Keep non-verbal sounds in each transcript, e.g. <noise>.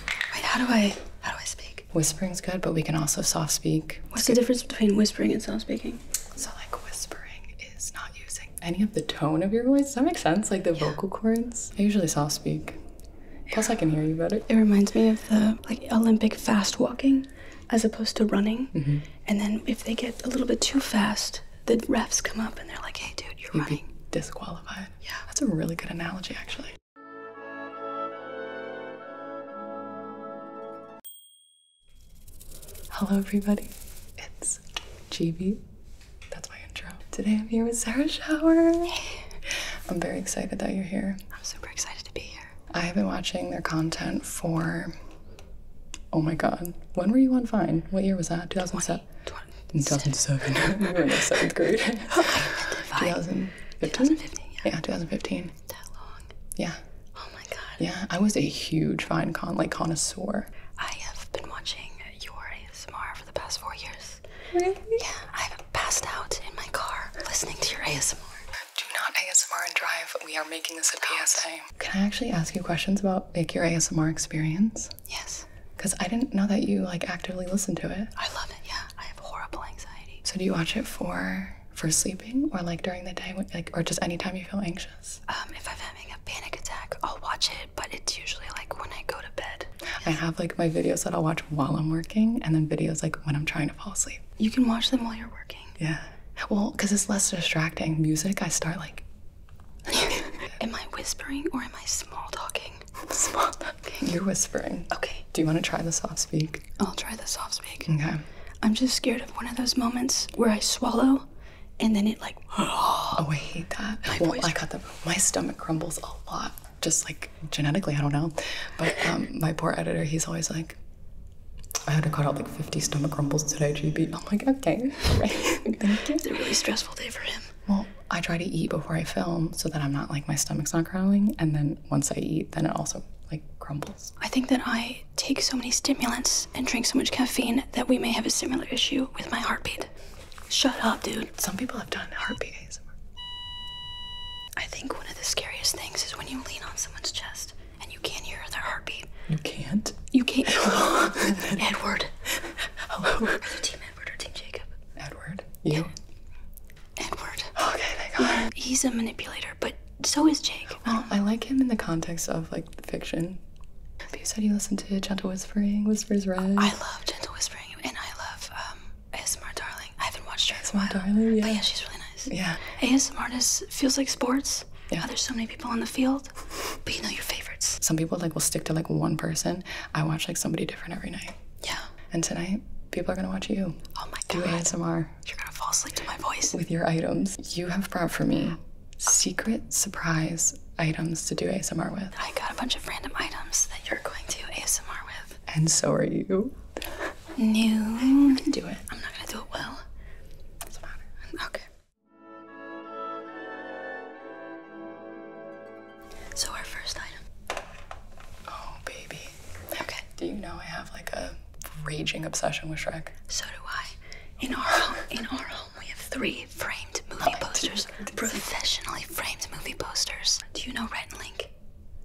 Wait, how do I how do I speak? Whispering's good, but we can also soft speak. What's the difference between whispering and soft speaking? So like whispering is not using any of the tone of your voice. Does that make sense? Like the vocal cords. I usually soft speak. Plus, I can hear you better. It reminds me of the like Olympic fast walking, as opposed to running. Mm-hmm. And then if they get a little bit too fast, the refs come up and they're like, "Hey, dude, you're running." disqualified. Yeah, that's a really good analogy, actually. Hello, everybody. It's GB. That's my intro. Today I'm here with Sarah Shower. I'm very excited that you're here. I'm super excited to be here. I have been watching their content for. Oh my god. When were you on Vine? What year was that? 2007? 20, 2007. <laughs> we were in the seventh grade. <laughs> 2000, 2015. Yeah. 2015. That long. Yeah. Oh my god. Yeah, I was a huge Vine con like connoisseur. I have been watching your ASMR for the past four years. Really? Yeah, I've passed out in my car listening to your ASMR. Do not ASMR and drive. We are making this a PSA. Can I actually ask you questions about like your ASMR experience? Yes. Because I didn't know that you like actively listened to it. I love it. Yeah. <sighs> I have horrible anxiety. So do you watch it for for sleeping or like during the day like or just anytime you feel anxious? Um if I'm having a panic attack, I'll watch it, but it's usually like when I go to bed. I have like my videos that I'll watch while I'm working and then videos like when I'm trying to fall asleep. You can watch them while you're working. Yeah. Well, because it's less distracting. Music, I start like. <laughs> am I whispering or am I small talking? <laughs> You're whispering. Okay. Do you want to try the soft speak? I'll try the soft speak. Okay. I'm just scared of one of those moments where I swallow and then it like <gasps> Oh, I hate that. I got the my stomach crumbles a lot. Just like genetically, I don't know. But um, my poor editor, he's always like I had to cut out like 50 stomach crumbles today, GB. I'm like, okay, all <laughs> right, thank you. It's a really stressful day for him. Well, I try to eat before I film so that I'm not like my stomach's not growling. And then once I eat, then it also like crumbles. I think that I take so many stimulants and drink so much caffeine that we may have a similar issue with my heartbeat. Shut up, dude. Some people have done heartbeat I think one of the scariest things is when you lean on someone's chest and you can't hear their heartbeat. You can't? You can't. <laughs> Edward. Hello. Are you Team Edward or Team Jacob? Edward. You? Edward. Okay, thank God. He's a manipulator, but so is Jake. Well, I like him in the context of like fiction. But you said you listened to Gentle Whispering, Whispers Red. I love Gentle Whispering, and I love um, ASMR Darling. I haven't watched her ASMR Darling, yeah. But yeah, she's really nice. Yeah. ASMR just feels like sports. Yeah. there's so many people in the field, but you know your favorites. Some people like will stick to like one person. I watch like somebody different every night. Yeah. And tonight, people are gonna watch you. Oh my god. Do ASMR. You're gonna fall asleep to my voice. With your items. You have brought for me secret surprise items to do ASMR with. I got a bunch of random items that you're going to ASMR with. And so are you. New. I'm gonna do it. I'm not gonna do it well. Doesn't matter. Okay. So our first item. Oh baby. Okay. Do you know I have like a raging obsession with Shrek? So do I. In our home, in our home, we have three framed movie posters, <laughs> professionally framed movie posters. Do you know Rhett and Link?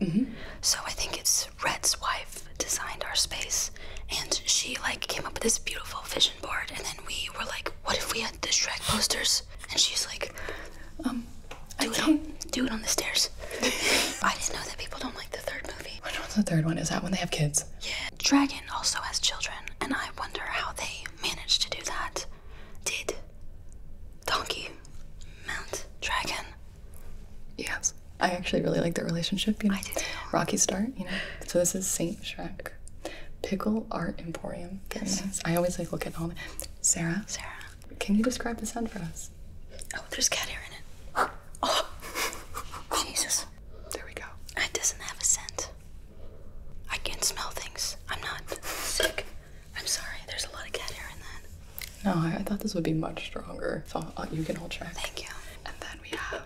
hmm So I think it's Red's wife designed our space, and she like came up with this beautiful vision board, and then we were like, "What if we had the Shrek posters and she's like, um, I do, not It on, do it on the stairs. <laughs> I didn't know that people don't like the third movie. Which one's the third one? Is that when they have kids? Yeah. Dragon also has children, and I wonder how they manage to do that. Did Donkey mount Dragon? Yes. I actually really like their relationship, I do too. Rocky Start, you know. So this is Saint Shrek. Pickle Art Emporium. yes. I always like look at all the Sarah. Sarah. Can you describe the scent for us? Oh, there's cat hair in it. <gasps> Oh, Jesus. There we go. It doesn't have a scent. I can smell things. I'm not sick. I'm sorry. There's a lot of cat hair in that. No, I, thought this would be much stronger. So you can all try. Thank you. And then we have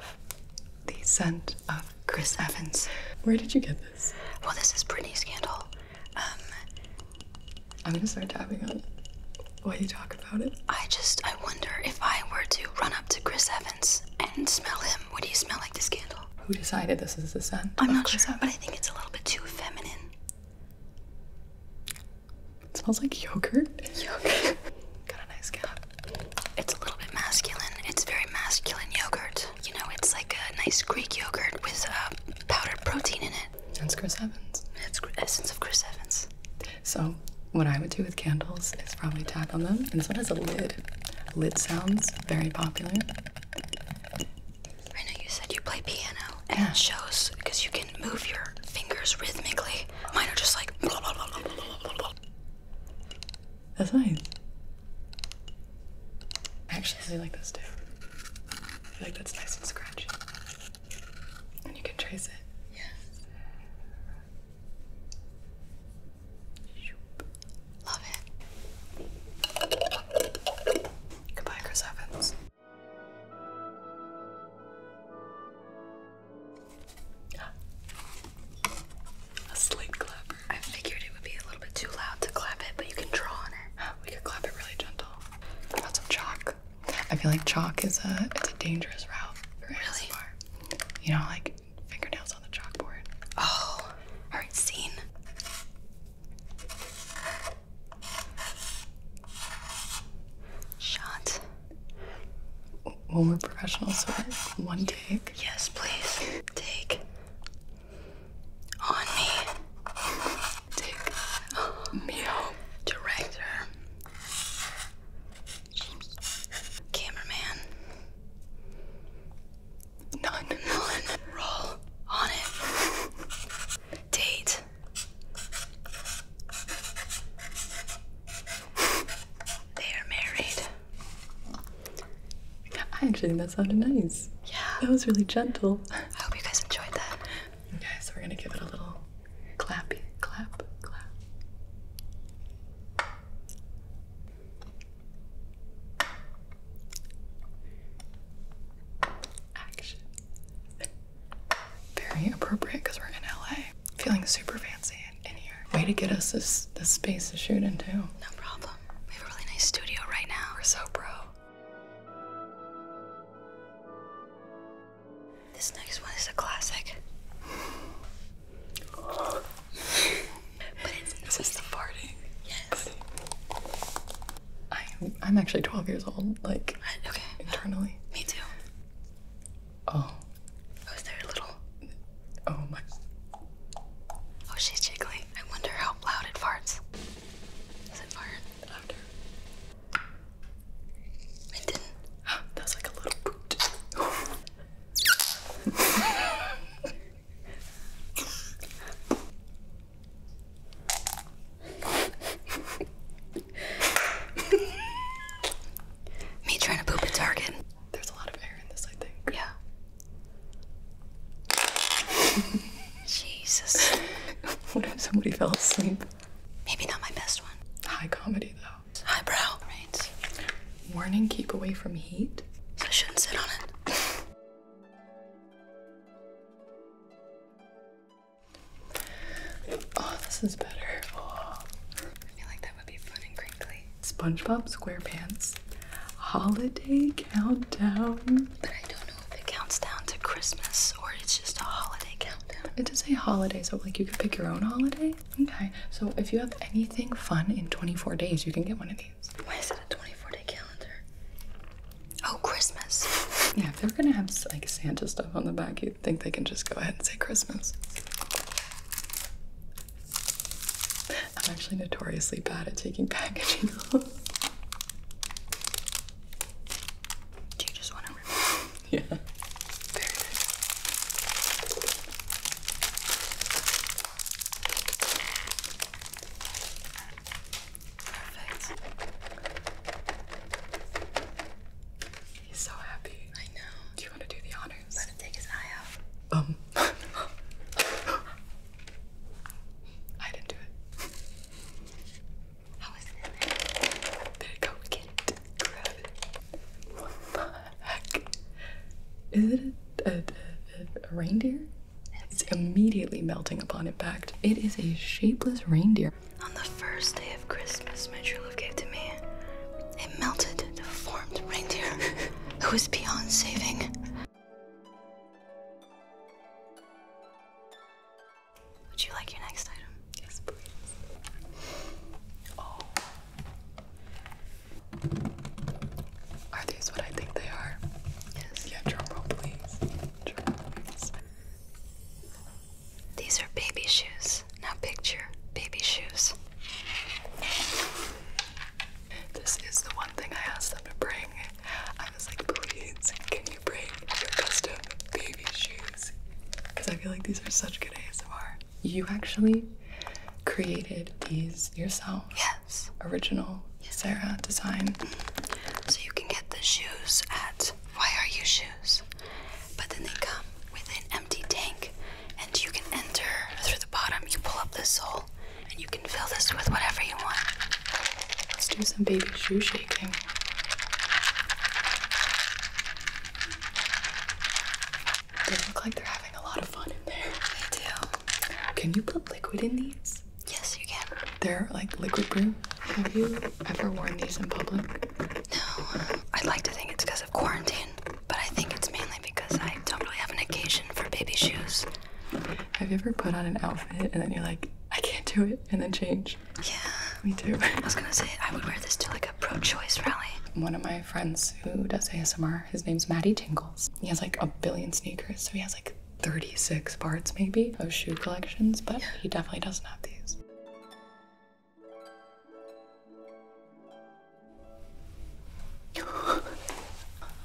the scent of Chris Evans. Where did you get this? Well, this is Britney's candle. Um, I'm gonna start tapping on what you talk about it. I just, I wonder if I were to run up to Chris Evans and smell him, what do you smell like this candle? Who decided this is the scent? I'm not sure, but I think it's a little bit too feminine. smells like yogurt. Yogurt. <laughs> Got a nice cap. It's a little bit masculine. It's very masculine yogurt. You know, it's like a nice Greek yogurt with uh, powdered protein in it. That's Chris Evans. That's essence of Chris Evans. So what I would do with candles is probably tap on them, and this one has a lid. Lid sounds very popular. I know you said you play piano, and yeah. it shows because you can move your fingers rhythmically. Mine are just like. That's nice. I actually really like this too. I feel like that's nice and scratchy. And you can trace it. Yes. Love it. Goodbye, Chris Evans. Ah. A slate clapper. I figured it would be a little bit too loud to clap it, but you can draw on it. <gasps> We could clap it really gentle. Lots of chalk. I feel like chalk is a it's a dangerous route really? You know, like fingernails on the chalkboard. Oh, all right. scene. Shot. Well, we're so one take. Yes, please. Take on me. Take meal director, cameraman. None, none. Roll on it. Date. They are married. I actually think that sounded nice. Yeah. That was really gentle. I hope you guys enjoyed that. Okay, so we're gonna give it a little clappy, clap, clap. Action. Very appropriate because we're in LA. Feeling super fancy in, here. Way to get us this space to shoot into. No problem. We have a really nice studio right now. We're so pro. This next one is a classic. but it's this is the farting. Yes. I am, I'm actually 12 years old, like internally. Me too. Oh. Oh, there a little? Oh my. Oh, she's jiggling. I wonder how loud it farts. Is it fire It didn't. <gasps> that was like a little boot. <laughs> Me trying to poop at Target. There's a lot of air in this, I think. Yeah. <laughs> Jesus. <laughs> what if somebody fell asleep? Maybe not my best one. High comedy, though. High brow, Right. Warning keep away from heat. So I shouldn't sit on it. <laughs> Oh, this is better. I feel like that would be fun and crinkly. SpongeBob SquarePants Holiday Countdown. But I don't know if it counts down to Christmas or it's just a holiday countdown. it is a holiday, so like you could pick your own holiday. Okay, so if you have anything fun in 24 days, you can get one of these. Why is it a 24 day calendar? Oh, Christmas. <laughs> Yeah, if they're gonna have like Santa stuff on the back, you think they can just go ahead and say Christmas. I'm actually notoriously bad at taking <laughs> packaging off. Do you just want to <laughs> yeah. Perfect. He's so happy. I know. Do you want to do the honors? Let him take his eye out. Um. <laughs> I didn't do it there? it. Grab Is it a, a, a, reindeer? It's immediately melting upon impact. It is a shapeless reindeer. On the first day of Christmas, my true love gave to me a melted, deformed reindeer <laughs> who is beyond saving. Would you like your next item? Yes, please. Oh. Are these what I think they are? Yes. Yeah, drum please. These are baby shoes. Now picture baby shoes. This is the one thing I asked them to bring. I was like, please, can you bring your custom baby shoes? Because I feel like these are such good ASMR. You actually created these yourself. Yes. Original yes. Sarah design. Mm-hmm. So you can get the shoes at Why Are You Shoes? But then they come with an empty tank and you can enter through the bottom. You pull up the sole and you can fill this with whatever you want. Let's do some baby shoe shape. They look like they're having a lot of fun in there. They do. Can you put liquid in these? Yes, you can. They're like liquid brew. Have you ever worn these in public? No. I'd like to think it's because of quarantine, but I think it's mainly because I don't really have an occasion for baby shoes. Have you ever put on an outfit and then you're like, I can't do it? and then change. Yeah. Me too. I was gonna say I would wear this to like a pro-choice rally. One of my friends who does ASMR, his name's Maddie Tingles. He has like a billion sneakers, so he has like 36 parts maybe of shoe collections, but he definitely doesn't have these. <gasps>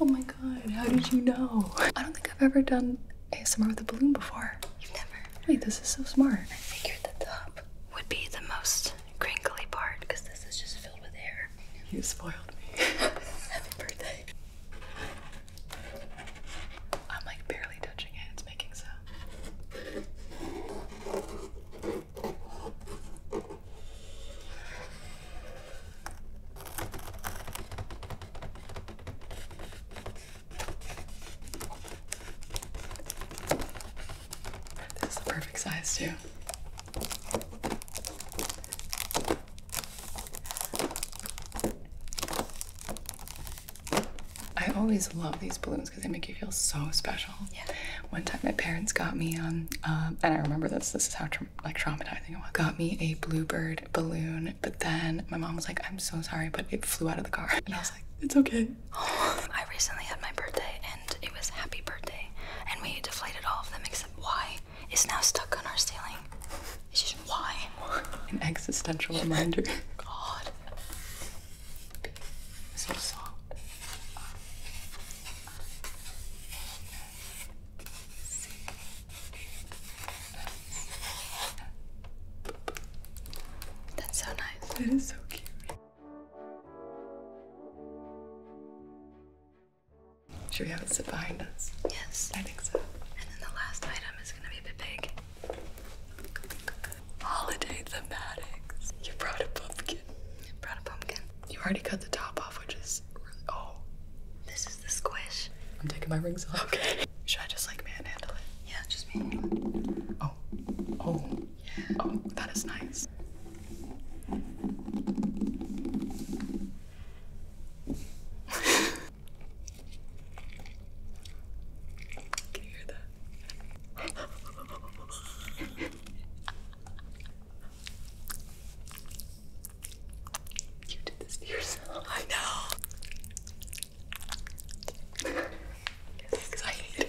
oh my god, how did you know? I don't think I've ever done I've ASMR with a balloon before. You've never. Wait, this is so smart. I figured the top would be the most crinkly part because this is just filled with air. You spoiled me. <laughs> Happy birthday. I'm like barely touching it, it's making sound. This is the perfect size, too. I always love these balloons because they make you feel so special. Yeah. One time, my parents got me on, um, uh, and I remember this. This is how like traumatizing it was. Got me a bluebird balloon. But then my mom was like, I'm so sorry, but it flew out of the car. And I was like, it's okay. <sighs> I recently had my birthday and it was happy birthday. And we deflated all of them except Y. It's now stuck on our ceiling. It's just why? <laughs> An existential reminder. <laughs> God. So soft. That's so nice. That is so cute. Should we have it sit behind us? Yes. I think so. And then the last item is gonna be a bit big. Holiday thematics. You brought a pumpkin. I brought a pumpkin. You already cut the top off, which is really, oh. This the squish. I'm taking my rings off. Okay. Should I just like manhandle it? Yeah, just me. Oh. Oh. Yeah. Oh, that is nice. Can you hear that? <laughs> you did this yourself. I know. Because I am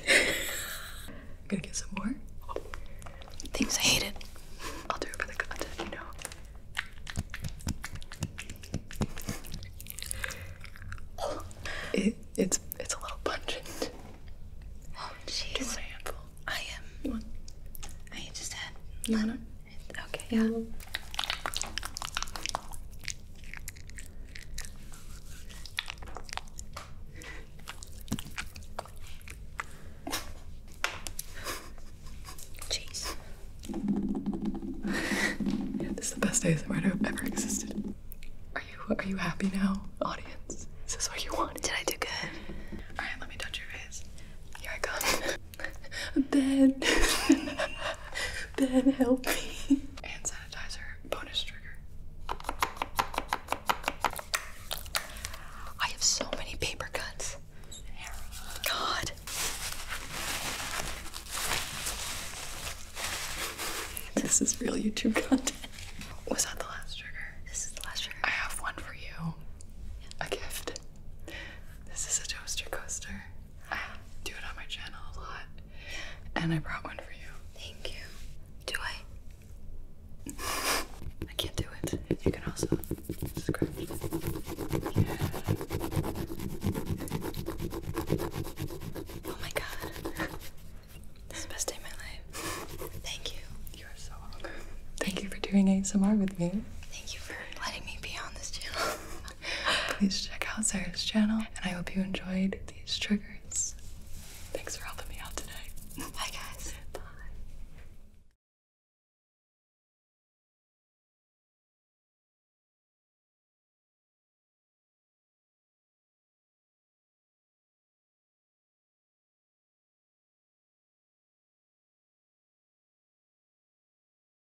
gonna get some more. Things I hated. I'll do it for the content, you know. It, it's it's a little pungent. Oh jeez. I am. One. I just had. No, Okay, yeah. Mm-hmm. Jeez. <laughs> this is the best day to have ever existed. Are you are you happy now, audience? Is this what you wanted? Did I do good? Alright, let me touch your face. Here I go. <laughs> Ben, Ben, <laughs> help me. Hand sanitizer, bonus trigger. I have so many paper cuts. God. This is real YouTube content. Was that the last trigger? This is the last trigger. I have one for you. A gift. This is a toaster coaster. I do it on my channel a lot. And I brought one for you. Thank you. Do I? <laughs> I can't do it. You can also scratch. Oh my god. This is the best day of my life. Thank you. You are so welcome. Thank you for doing ASMR with me. Thank you for letting me be on this channel. <laughs> please check out Sarah's channel, and I hope you enjoyed these triggers. Thanks for helping me out today. Bye, guys. Bye.